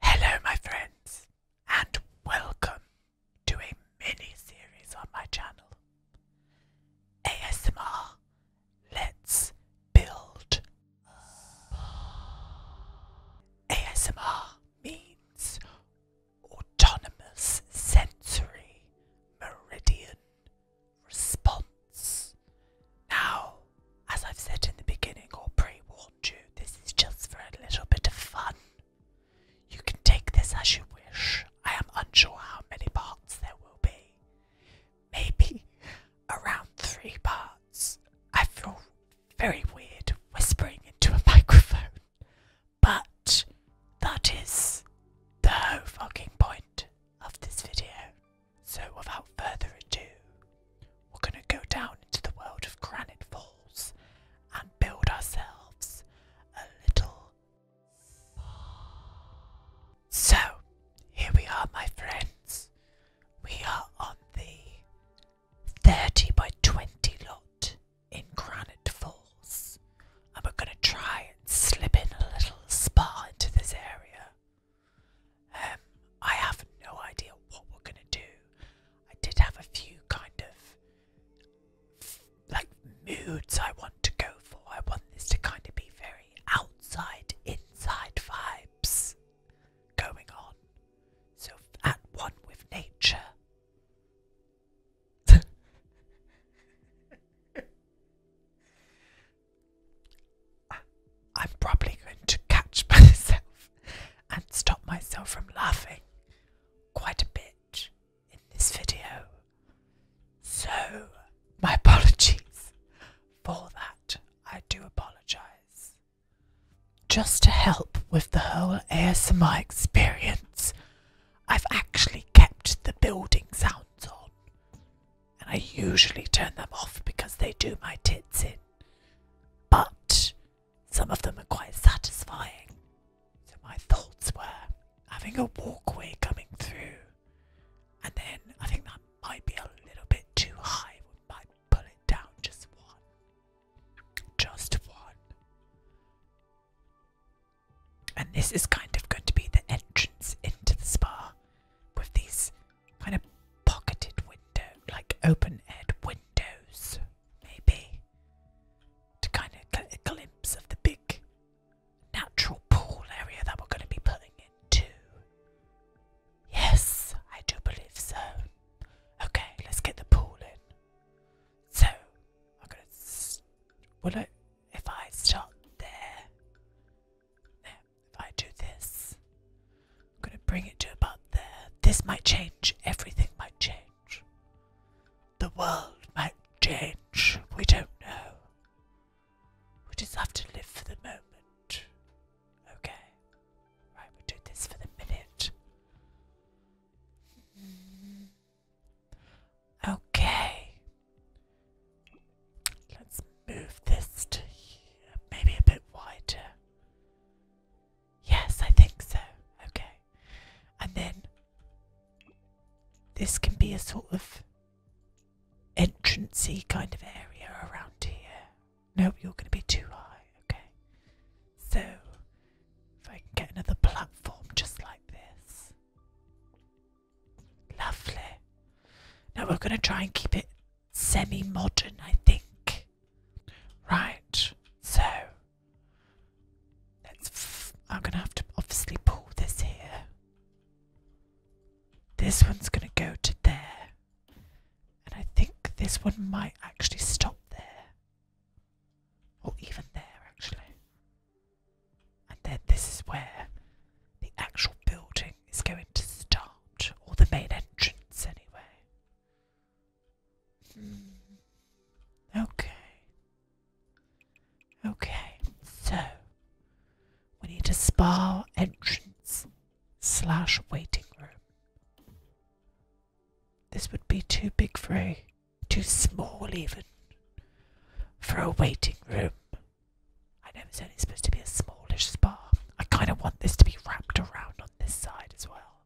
Hello, my friends, and welcome to a mini series on my channel ASMR Let's Build. ASMR means Autonomous Sensory Meridian Response. Now, as I've said in the beginning or pre war told this is just for a little bit of fun. You can take this as you wish. I am unsure how many parts there will be. Maybe around three parts. I feel very weird whispering into a microphone, but that is the whole fucking point of this video. So without further ado, we're going to go down into the world of Granite Falls and build ourselves a little spa. So, here we are, my friends. We are on the 30 by 20 lot in Granite Falls, and we're going to try and slip in a little spa into this area. Um, I have no idea what we're gonna do. I did have a few kind of like moods I want to go for. I want this to kind of be very outside, inside vibes going on. So at one with nature. I'm probably going to catch myself and stop myself from laughing quite a bit in this video. So, my apologies for that. I do apologize. Just to help with the whole ASMR experience, I've actually kept the building sounds on. And I usually turn them off because they do my tits in. But some of them are quite satisfying. So my thoughts were having a walkway coming through, and then I think that might be a little bit too high. We might pull it down just one. Just one. And this is kind of going to be the entrance into the spa with these kind of pocketed window, like open-aired windows, maybe, to kind of get a glimpse of the big natural pool area that we're going to be pulling into. Yes, I do believe so. Okay, let's get the pool in. So, I'm going to. Will I. If I start there. There. I do this, I'm going to bring it to about there. This might change. Everything might change. The world might change. We don't know. We just have to live for the moment. Okay. Right, we do this for the minute. Mm-hmm. Okay. Let's move this to here, maybe a bit wider. Yes, I think so. Okay. And then this can be a sort of entrancy kind of area around here. No, you're going to be too high. Okay. So if I get another platform just like this. Lovely. Now we're going to try and keep it semi modern, I think. Right, so let's. F I'm gonna have to obviously pull this here. This one's gonna go to there, and I think this one might actually stop there, or even there actually. And then this is where the actual building is going to start, or the main entrance anyway. Mm. Okay. Okay, so we need a spa entrance slash waiting room. This would be too big for a, too small even, for a waiting room. I know it's only supposed to be a smallish spa. I kind of want this to be wrapped around this side as well.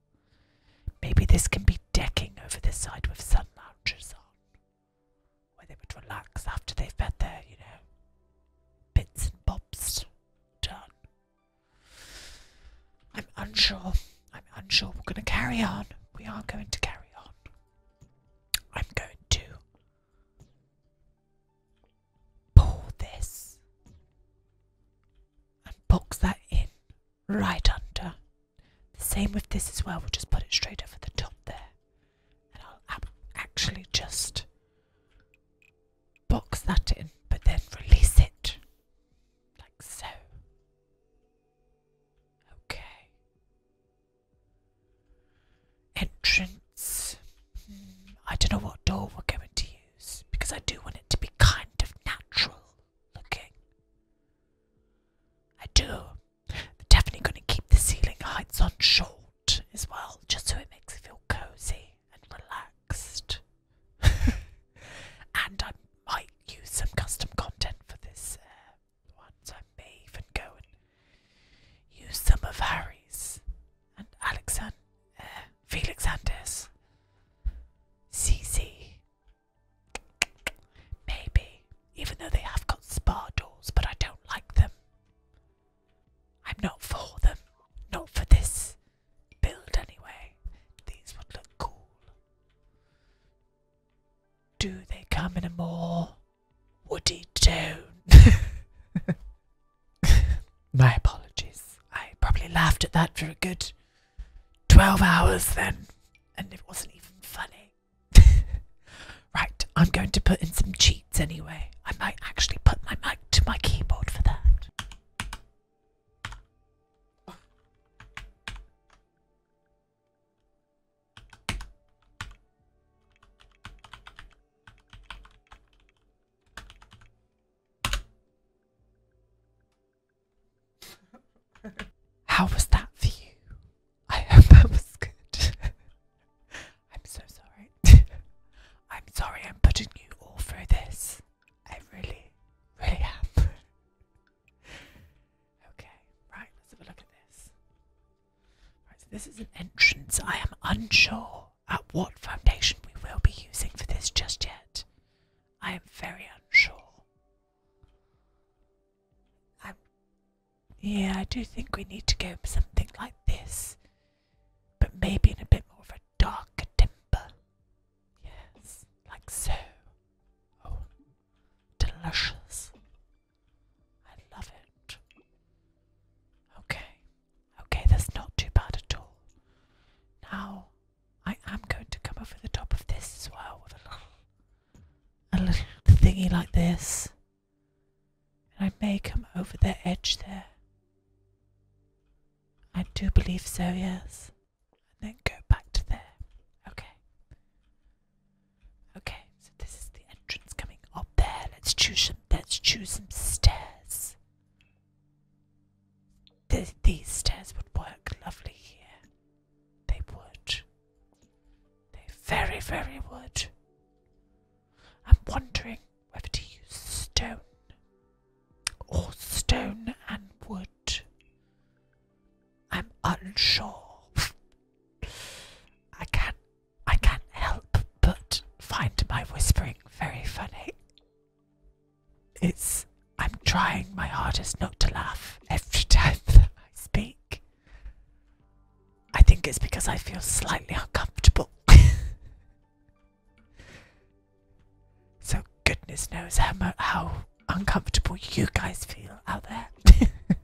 Maybe this can be decking over this side with sun loungers on, where they would relax after they've had their, you know, bits and bobs done. I'm unsure. I'm unsure. We're going to carry on. We are going to carry on. I'm going to pull this and box that in right under. same with this as well, we'll just put it straight over the top there. And I'll actually just box that in, but then release it like so. Okay. Entrance. Hmm, I don't know what door we're going to because I do want it to be kind of natural looking. I do. They're definitely going to keep the ceiling heights on short as well, just so it makes it feel cozy and relaxed. and I might use some custom content for this uh, one, so I may even go and use some of Harry's and Alexander uh, Felix Anders. CC. Maybe, even though they have got spa doors, but I don't like them. I'm not for them. Not for this build, anyway. These would look cool. Do they come in a more woody tone? My apologies. I probably laughed at that for a good 12 hours then, and it wasn't even funny. right, I'm going to put in some cheats anyway. I might actually put my mic to my keyboard for that. How was that for you? I hope that was good. I'm so sorry. I'm sorry I'm putting you all through this. I really, really am. okay, right, let's have a look at this. Right, so this is an entrance. I am unsure at what foundation we will be using for this just yet. I am very unsure. yeah, I do think we need to go for something like this, but maybe in a bit more of a darker temper. Yes, like so. Oh, delicious. I love it. Okay. Okay, that's not too bad at all. Now, I am going to come over the top of this as well with a little, a little thingy like this. And I may come over the edge there. I do believe so, yes. And then go back to there. Okay. Okay, so this is the entrance coming up there. Let's choose some let's choose some stairs these stairs would work lovely here. They would. They very, very would. I'm wondering whether to use stone or stone and wood. I'm unsure. I can't I can't help but find my whispering very funny. It's. I'm trying my hardest not to laugh every time I speak. I think it's because I feel slightly uncomfortable. so, goodness knows how, how uncomfortable you guys feel out there.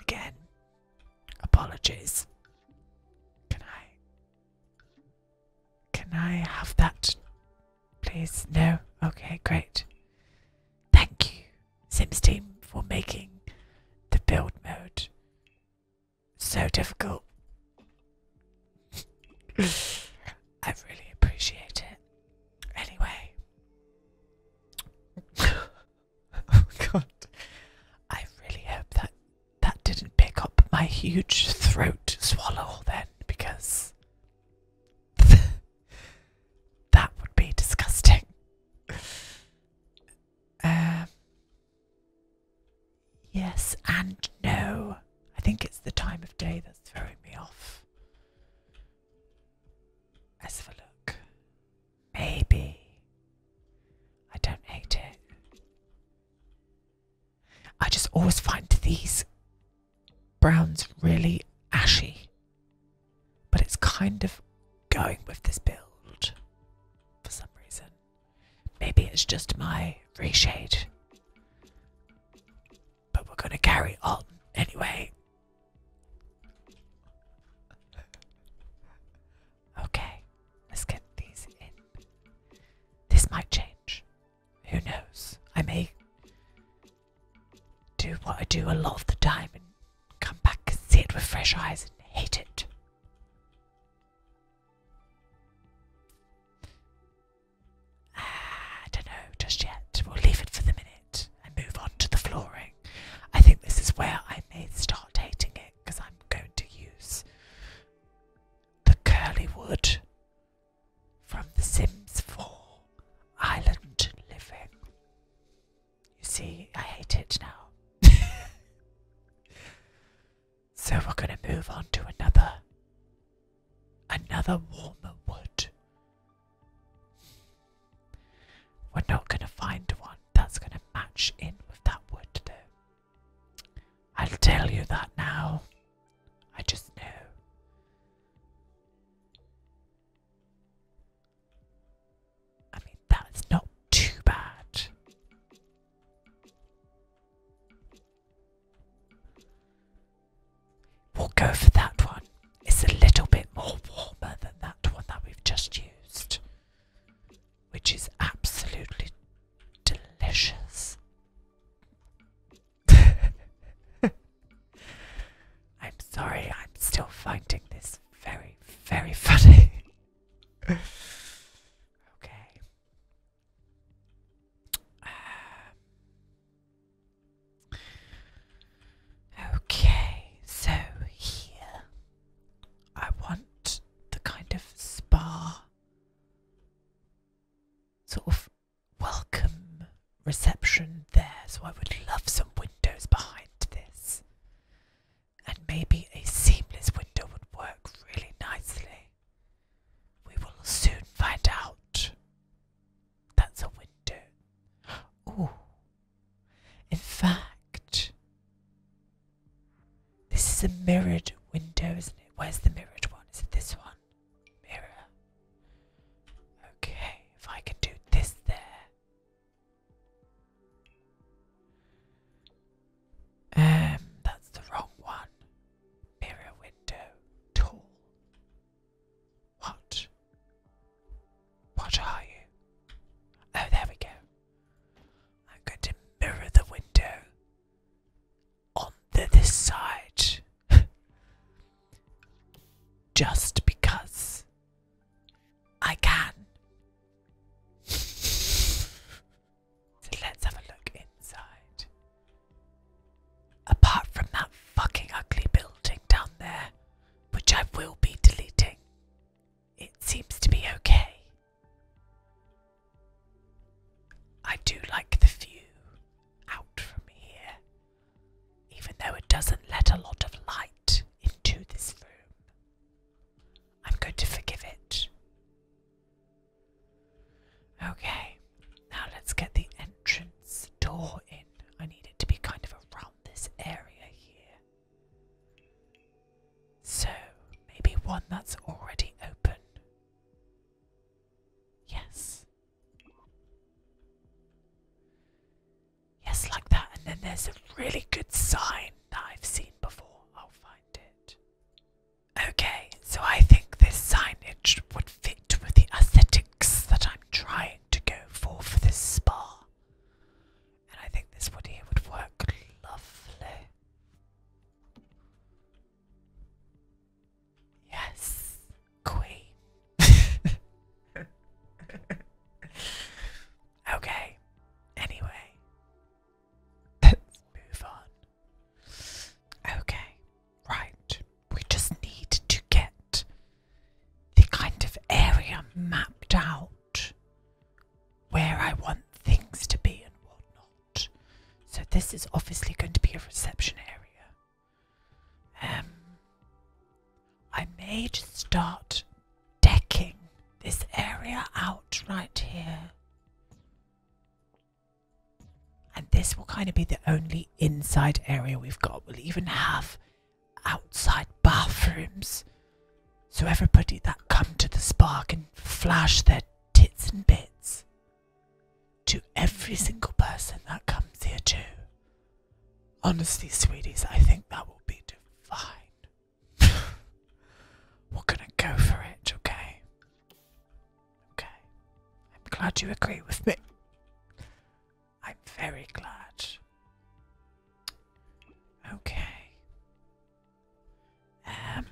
Again, apologies. Can I can I have that, please? No? Okay, great. Thank you, Sims team, for making the build mode so difficult. I really appreciate it. Anyway. oh god. I really hope that that didn't pick up my huge throat swallow then, because that would be disgusting. Um, yes and no. I think it's the time of day that's throwing me off. Let's look. Maybe I don't hate it. I just always find these browns really ashy, but it's kind of going with this build for some reason. Maybe it's just my reshade, but we're gonna carry on anyway. Okay, let's get these in. This might change. Who knows? I may do what I do a lot of the time and come back and see it with fresh eyes and hate it. Ah, I don't know just yet. We'll leave it for the minute and move on to the flooring. I think this is where I may start hating it because I'm going to use the curly wood from The Sims 4 Island Living. You see, I hate it now. so we're going to move on to another, another warmer wood. We're not going to find one that's going to match in with that wood, though. I'll tell you that now. I just know. I mean, that's not too bad. We'll go for that one. It's a little bit more warmer than that one that we've just used which is absolutely delicious. I'm sorry, I'm still finding this very, very funny. okay. Um, okay, so here I want the kind of spa sort of welcome reception there, so I would love some windows behind this. And maybe a seamless window would work really nicely. We will soon find out. That's a window. Ooh. In fact, this is a mirrored window, isn't it? Where's the mirrored one? Is it this one? Mirror. Okay, if I can do this there. Um, that's the wrong one. Mirror window. Tall. What? What are you? Oh, there we go. I'm going to mirror the window on the, this side just because I can. so let's have a look inside. Apart from that fucking ugly building down there, which I will be deleting. It seems to be okay. I do like the view out from here, even though it doesn't let a lot of light into this room. I'm going to forgive it. Okay, now let's get the entrance door in. I need it to be kind of around this area here. So, maybe one that's already open. Yes. Yes, like that. And then there's a really good sign that I've seen before. I'll find it. Okay, so I think this signage would fit with the aesthetics that I'm trying to go for for this spa. And I think this wood here would work lovely. Yes, Queen. okay, anyway, move on. Okay, right, we just need to get the kind of area mapped out where I want things to be and whatnot. So this is obviously going to be a reception area. Um, I may just start decking this area out right here. And this will kind of be the only inside area we've got. We'll even have outside bathrooms so everybody that come to the spa can flash their tits and bits to every single person that comes here too. Honestly, sweeties, I think that will be divine. We're gonna go for it, okay? Okay. I'm glad you agree with me. I'm very glad. Okay. Um,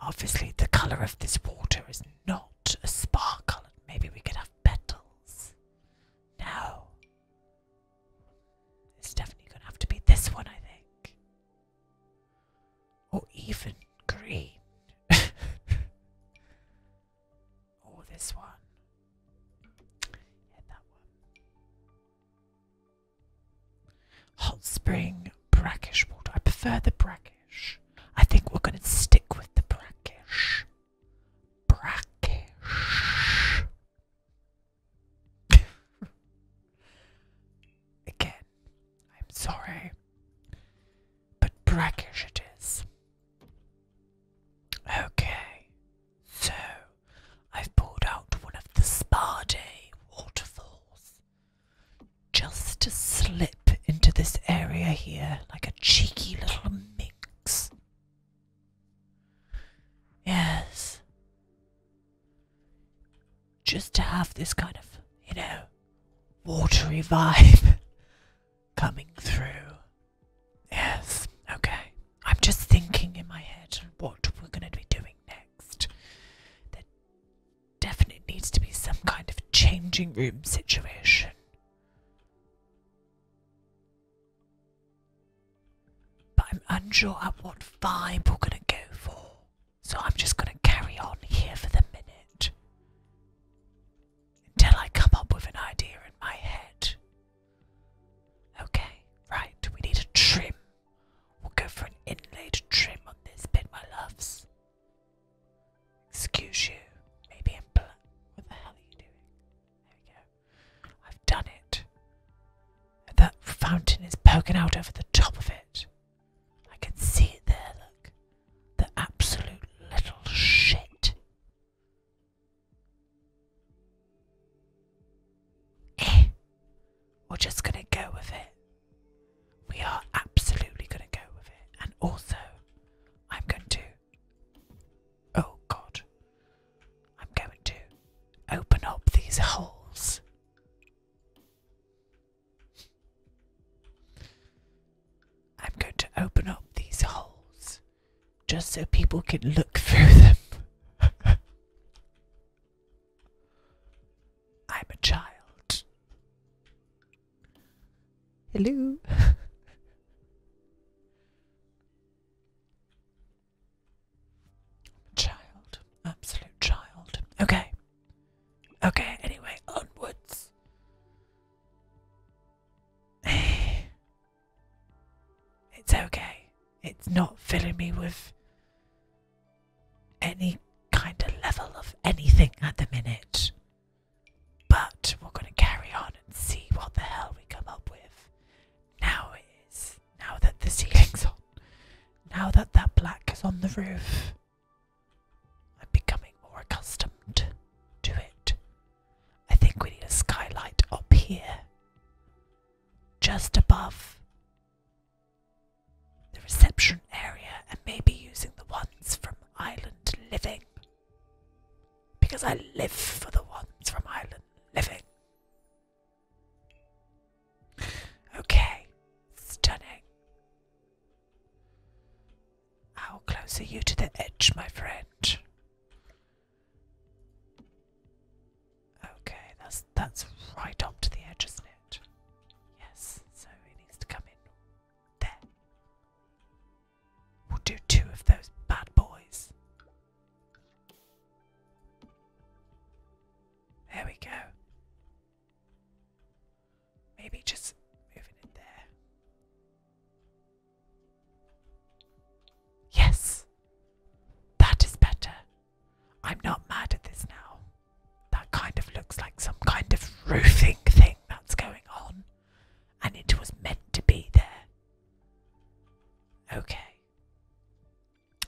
obviously, the colour of this water is not a spark colour. Maybe we could have petals. No. It's definitely going to have to be this one, I think. Or even green. or this one. Hot spring, brackish water. I prefer the brackish. I think we're going to stick with the brackish. Brackish. Again, I'm sorry, but brackish it is. Okay, so I've pulled out one of the Sparday waterfalls just to slip into this area here like a cheeky little minx. Yes. Just to have this kind of, you know, watery vibe coming through. Yes, okay. I'm just thinking in my head what we're going to be doing next. There definitely needs to be some kind of changing room situation. But I'm unsure at what vibe we're going to go for. So I'm just going to carry on here for the minute until I come up with an idea in my head. Okay, right, we need a trim. We'll go for an inlaid trim on this bit, my loves. Excuse you, maybe in black. What the hell are you doing? There we go. I've done it. The fountain is poking out over the top of it. I can see it there, look. The absolute little shit. Eh, we're just gonna go with it. We are absolutely gonna go with it. And also, I'm going to. Oh god. I'm going to open up these holes. I'm going to open up these holes just so people can look through them. I'm a child. Hello. child. Absolute child. Okay. Okay, anyway, onwards. It's okay. It's not filling me with any kind of level of anything at the minute. But we're going to carry on and see what the hell we come up with. Now it is. Now that the ceiling's on. Now that that black is on the roof. I'm becoming more accustomed to it. I think we need a skylight up here just above the reception area and maybe using the ones from Island Living. Because I live for the ones from Island Living. Okay, stunning. How close are you to the edge, my friend? Okay, that's that's right up to the edge, isn't it? Yes, so it needs to come in there. We'll do two of those bad boys. There we go. Maybe just moving it there. Yes, that is better. I'm not mad at this now. That kind of looks like some kind of roofing thing that's going on, and it was meant to be there. Okay.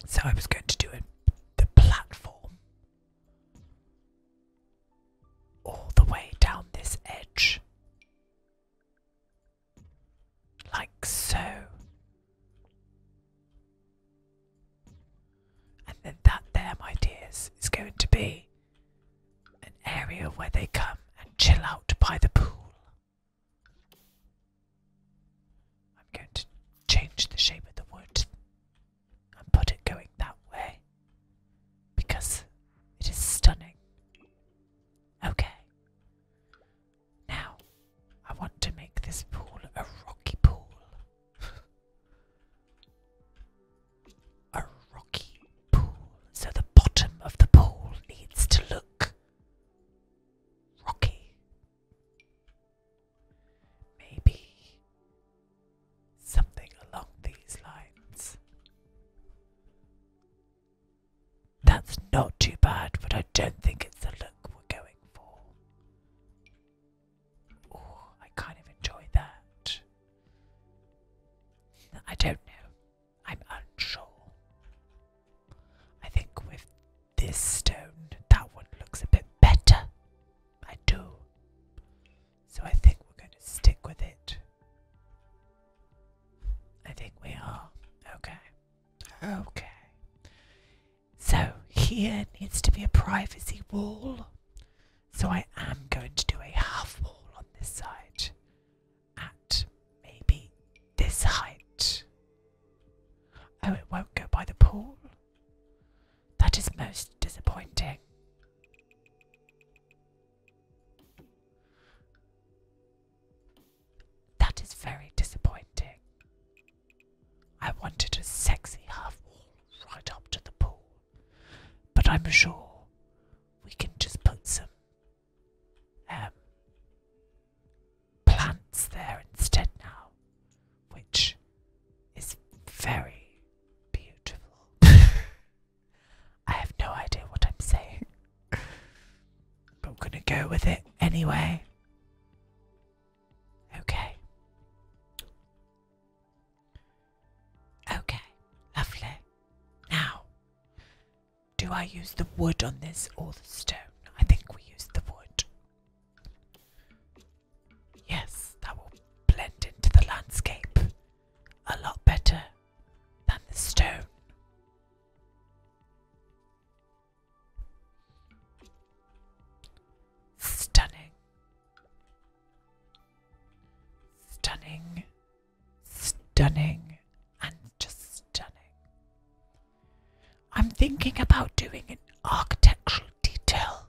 So I was going to do it the platform all the way down this edge. Like so. And then that there, my dears, is going to be an area where they come and chill out by the pool. I'm going to change the shape of the wood and put it going that way because it is stunning. Okay. Now, I want to make this pool a rocky pool. a rocky pool. So the bottom of the pool needs to look rocky. Maybe something along these lines. That's not too bad, but I don't think it's the look we're going for. I kind of enjoy that. I don't know. I'm unsure. I think with this stone, that one looks a bit better. I do. So I think we're going to stick with it. I think we are. Okay. Okay. So here needs to be a privacy wall. So I am going to do a half wall on this side at maybe this height. Oh, it won't go by the pool. That is most disappointing. That is very disappointing. I wanted a sexy half wall right up to the pool, but I'm sure we can just put some um, plants there instead now, which is very beautiful. I have no idea what I'm saying but I'm gonna go with it anyway. Okay. Okay, lovely. Now, do I use the wood on this or the stone? I think we use the wood. Yes, that will blend into the landscape a lot better than the stone. Stunning. Stunning. Stunning. And just stunning. I'm thinking about doing an architectural detail.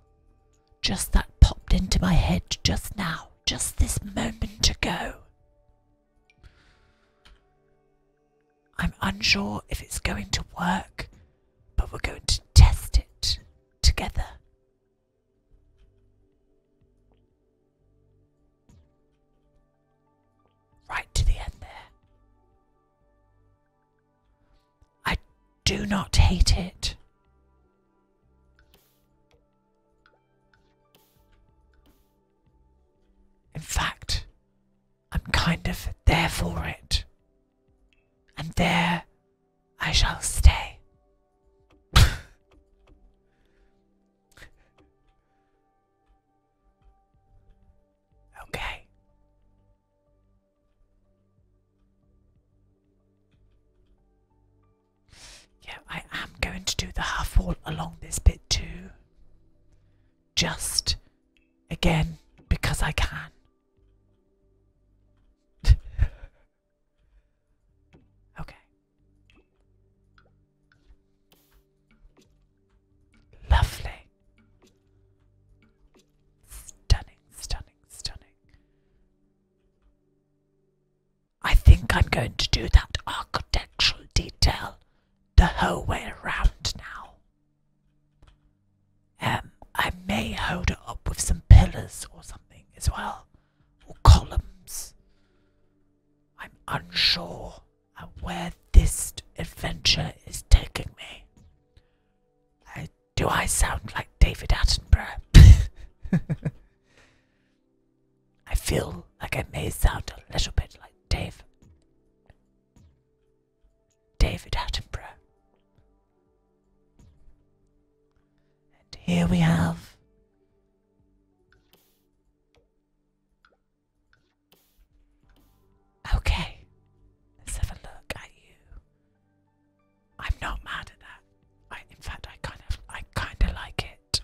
Just that popped into my head just now, just this moment ago. I'm unsure if it's going to work, but we're going to test it together. Right to the end there. I do not hate it. In fact, I'm kind of there for it. And there I shall stay. okay. Yeah, I am going to do the half wall along this bit too just again because I can. okay. Lovely. Stunning, stunning, stunning. I think I'm going to do that architectural detail the whole way around now. Um, I may hold it up with some pillars or something as well, or columns. I'm unsure at where this adventure is taking me. Uh, do I sound like David Attenborough? I feel like I may sound a little bit like Dave. David Attenborough. And here we have Okay, let's have a look at you. I'm not mad at that. in fact, I kind of, I kind of like it.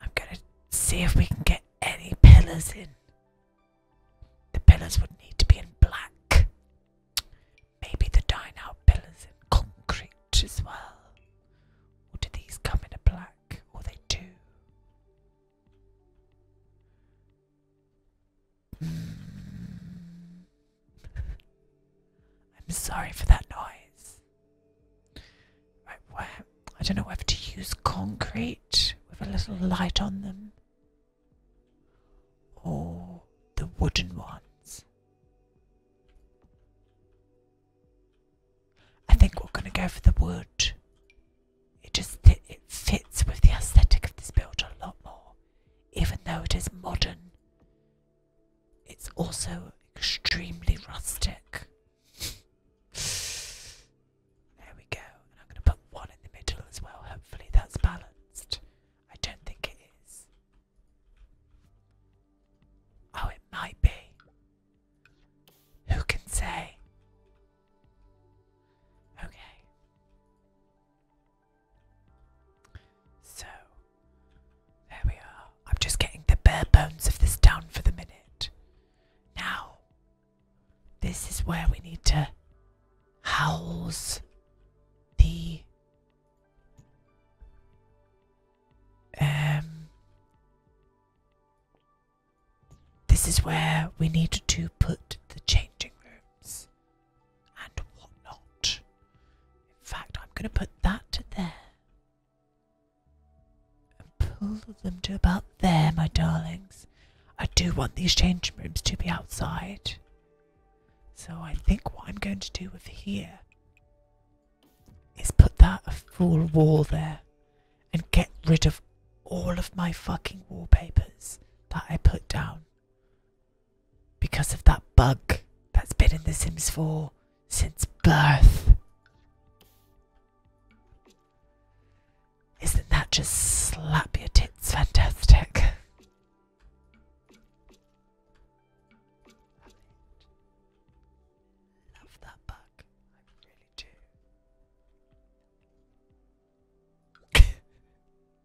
I'm gonna see if we can get any pillars in. The pillars would need to be in black. Maybe the dine pillars in concrete as well. Or do these come in a black? Or they do? Hmm. I'm sorry for that noise. I don't know whether to use concrete with a little light on them or the wooden ones. I think we're going to go for the wood. It just it fits with the aesthetic of this build a lot more, even though it is modern. It's also extremely rustic. There we go. I'm going to put one in the middle as well. Hopefully that's balanced. I don't think it is. Oh, it might be. Who can say? Okay. So, there we are. I'm just getting the bare bones of this down for the minute. Now, this is where we need to house the um this is where we need to put the changing rooms and whatnot. In fact, I'm gonna put that there and pull them to about there, my darlings. I do want these changing rooms to be outside. So I think what I'm going to do with here is put that full wall there and get rid of all of my fucking wallpapers that I put down because of that bug that's been in The Sims 4 since birth. Isn't that just slap your tits fantastic?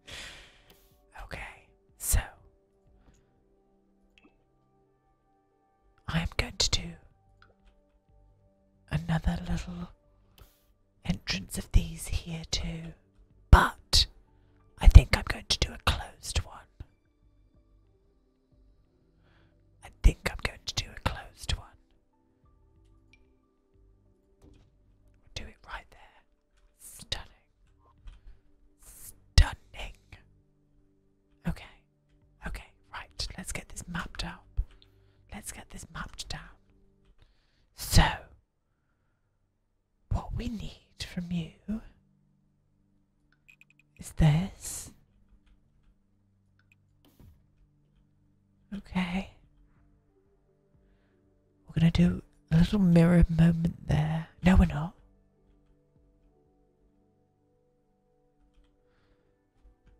okay, so I am going to do another little entrance of these here too, but I think I'm going to do a closed one. I think I'm going to do a closed one. Do it right there. Stunning. Stunning. Okay. Okay, right. Let's get this mapped out. Let's get this mapped down. So, what we need from you is this. Okay. We're going to do a little mirror moment there. No, we're not.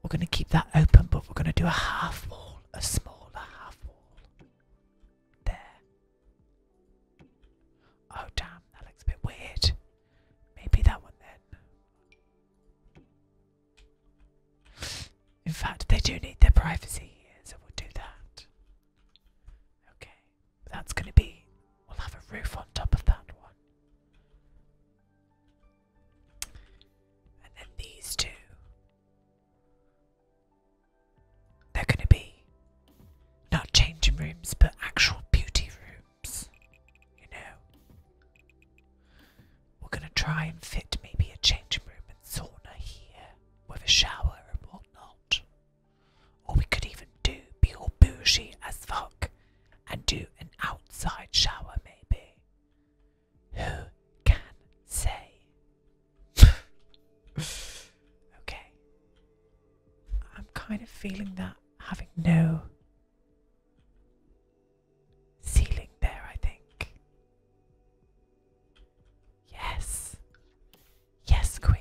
We're going to keep that open, but we're going to do a half wall, a smaller half wall. There. Oh, damn, that looks a bit weird. Maybe that one then. In fact, they do need their privacy so we'll do that. Okay that's going to be. We'll have a roof on top of that one. And then these two. They're going to be not changing rooms, but actual beauty rooms. You know? We're going to try and fit maybe a changing room and sauna here with a shower and whatnot. Or we could even do be all bougie as fuck and do an outside shower, maybe. Who can say? okay. I'm kind of feeling that having no ceiling there, I think. Yes. Yes, Queen.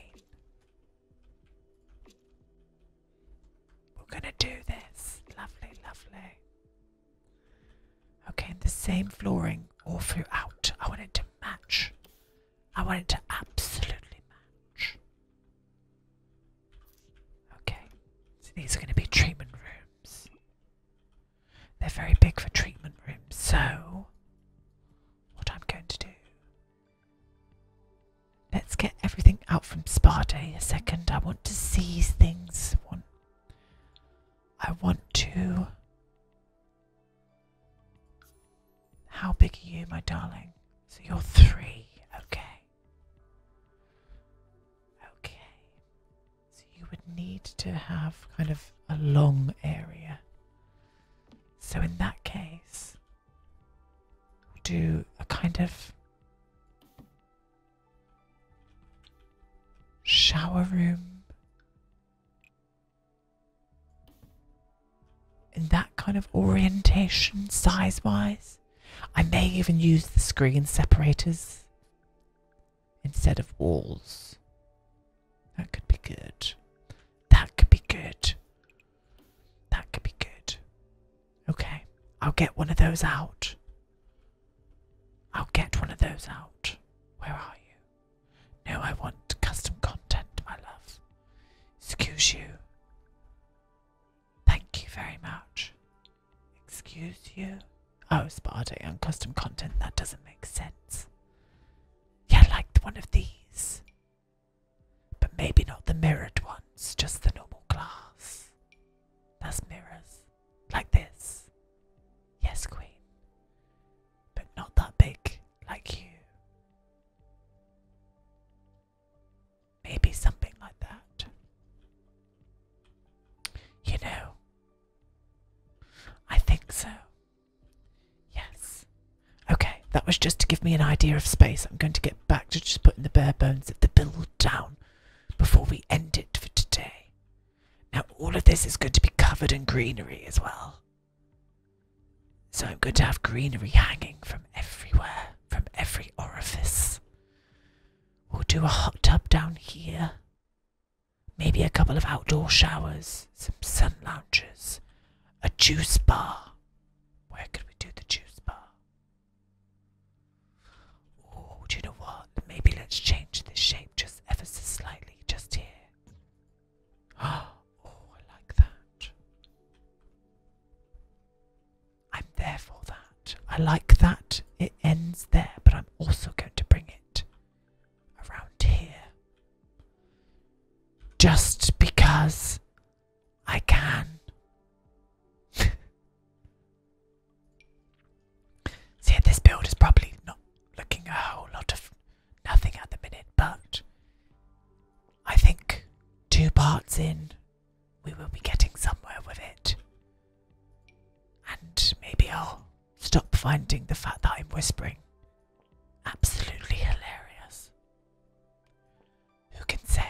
We're gonna do this. Lovely, lovely. Okay, the same flooring all throughout. I want it to match. I want it to absolutely match. Okay, these are going to be treatment rooms. They're very big for treatment rooms, so what I'm going to do Let's get everything out from Sparta. day a second. I want to seize things. I want to. How big are you, my darling? So you're three. Okay. Okay. So you would need to have kind of a long area. So in that case, We'll do a kind of shower room in that kind of orientation, size wise. I may even use the screen separators instead of walls. That could be good. That could be good. That could be good. Okay, I'll get one of those out. I'll get one of those out. Where are you? No, I want custom content, my love. Excuse you. Thank you very much. Excuse you? Oh, Sparta and custom content, that doesn't make sense. Yeah, like one of these. But maybe not the mirrored ones, just the normal glass. That's mirrors. Like this. Yes, Queen. But not that big, like you. Maybe something like that. You know, I think so. Yes, Okay, that was just to give me an idea of space. I'm going to get back to just putting the bare bones of the build down before we end it for today. Now, all of this is going to be covered in greenery as well. So I'm going to have greenery hanging from everywhere, from every orifice. We'll do a hot tub down here. Maybe a couple of outdoor showers, some sun lounges, a juice bar. Where can we do the juice bar? do you know what? Maybe let's change this shape just ever so slightly, just here. Oh, I like that. I'm there for that. I like that. It ends there, but I'm also going to bring it around here. Just because I can. See, this build is probably not looking a whole lot of nothing at the minute, but I think two parts in, we will be getting somewhere with it. And maybe I'll stop finding the fact that I'm whispering absolutely hilarious. Who can say?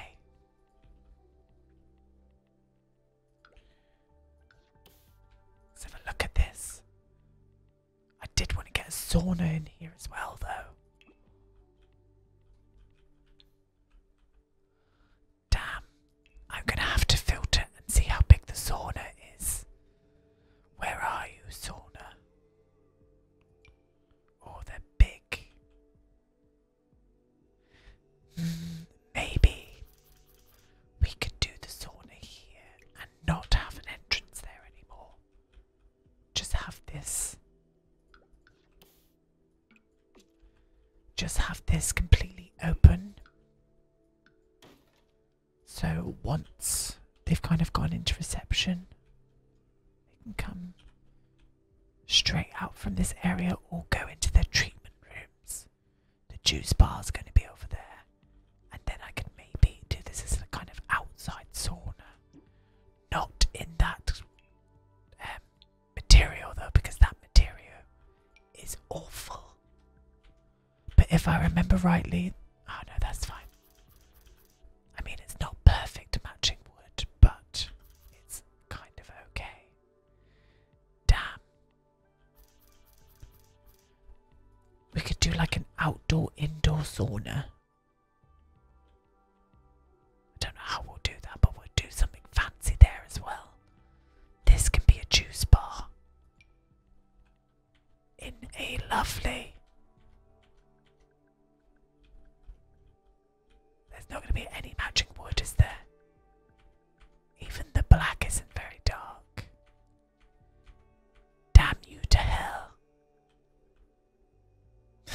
Let's have a look at this. I did want to get a sauna in here as well, though. Damn, I'm gonna have to filter and see how big the sauna is. Where are you, sauna? Oh, they're big. Mm, maybe we could do the sauna here and not have an entrance there anymore. Just have this. Just have this completely open. So once they've kind of gone into reception, they can come straight out from this area all go into their treatment rooms. The juice bar is going to be over there, and then I can maybe do this as a kind of outside sauna. Not in that um, material though, because that material is awful. But if I remember rightly, oh no, that's fine. I mean, it's not perfect matching wood, but it's kind of okay. Damn. We could do like an outdoor indoor sauna. don't know how we'll do that, but we'll do something fancy there as well. This can be a juice bar in a lovely there's not going to be any matching wood, is there? Even the black isn't very dark. Damn you to hell.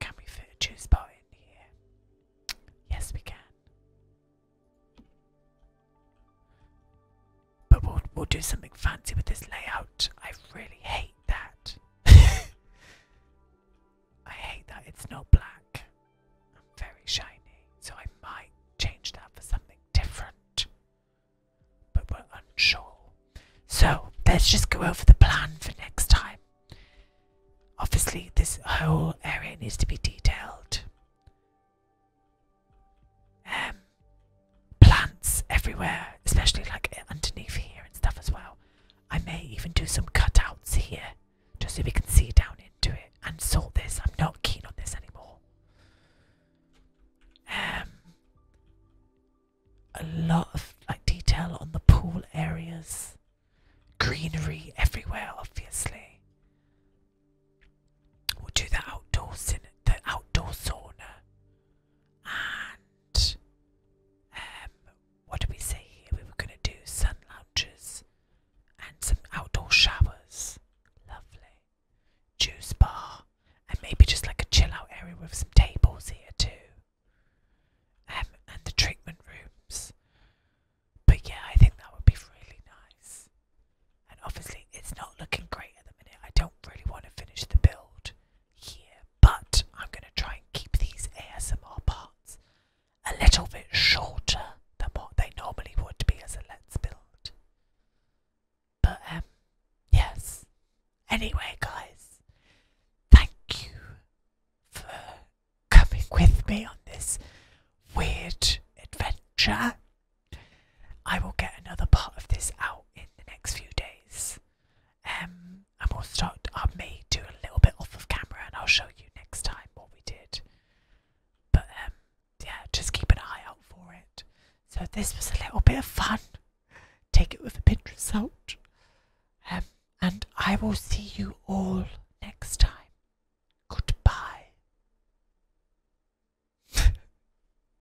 can we fit a juice bar Yes, we can. But we'll, we'll do something fancy with this layout. I really hate that. I hate that it's not black very shiny, so I might change that for something different. But we're unsure. So let's just go over the plan for next time. Obviously, this whole area needs to be detailed. Um, plants everywhere, especially like underneath here and stuff as well. I may even do some cutouts here just so we can see down into it and sort this. I'm not keen on this anymore. Um, a lot of like detail on the pool areas, greenery everywhere, obviously. We'll do the outdoors in the outdoor sauna. And um, what did we say We were going to do sun lounges and some outdoor showers. Lovely. Juice bar. And maybe just like a chill out area with some tables here too. Um, and the treatment rooms. But yeah, I think that would be really nice. And obviously, it's not looking great at the minute. I don't really want to finish the build out but I'm going to try and keep these ASMR parts a little bit shorter than what they normally would be as a Let's Build. But, um, yes. Anyway, guys, thank you for coming with me on this weird adventure. I will get another part of this out in the next few days. Um, and we'll start. I may do a little bit off of camera, and I'll show you next time what we did. But um, yeah, just keep an eye out for it. So this was a little bit of fun. Take it with a pinch of salt. Um, and I will see you all next time. Goodbye.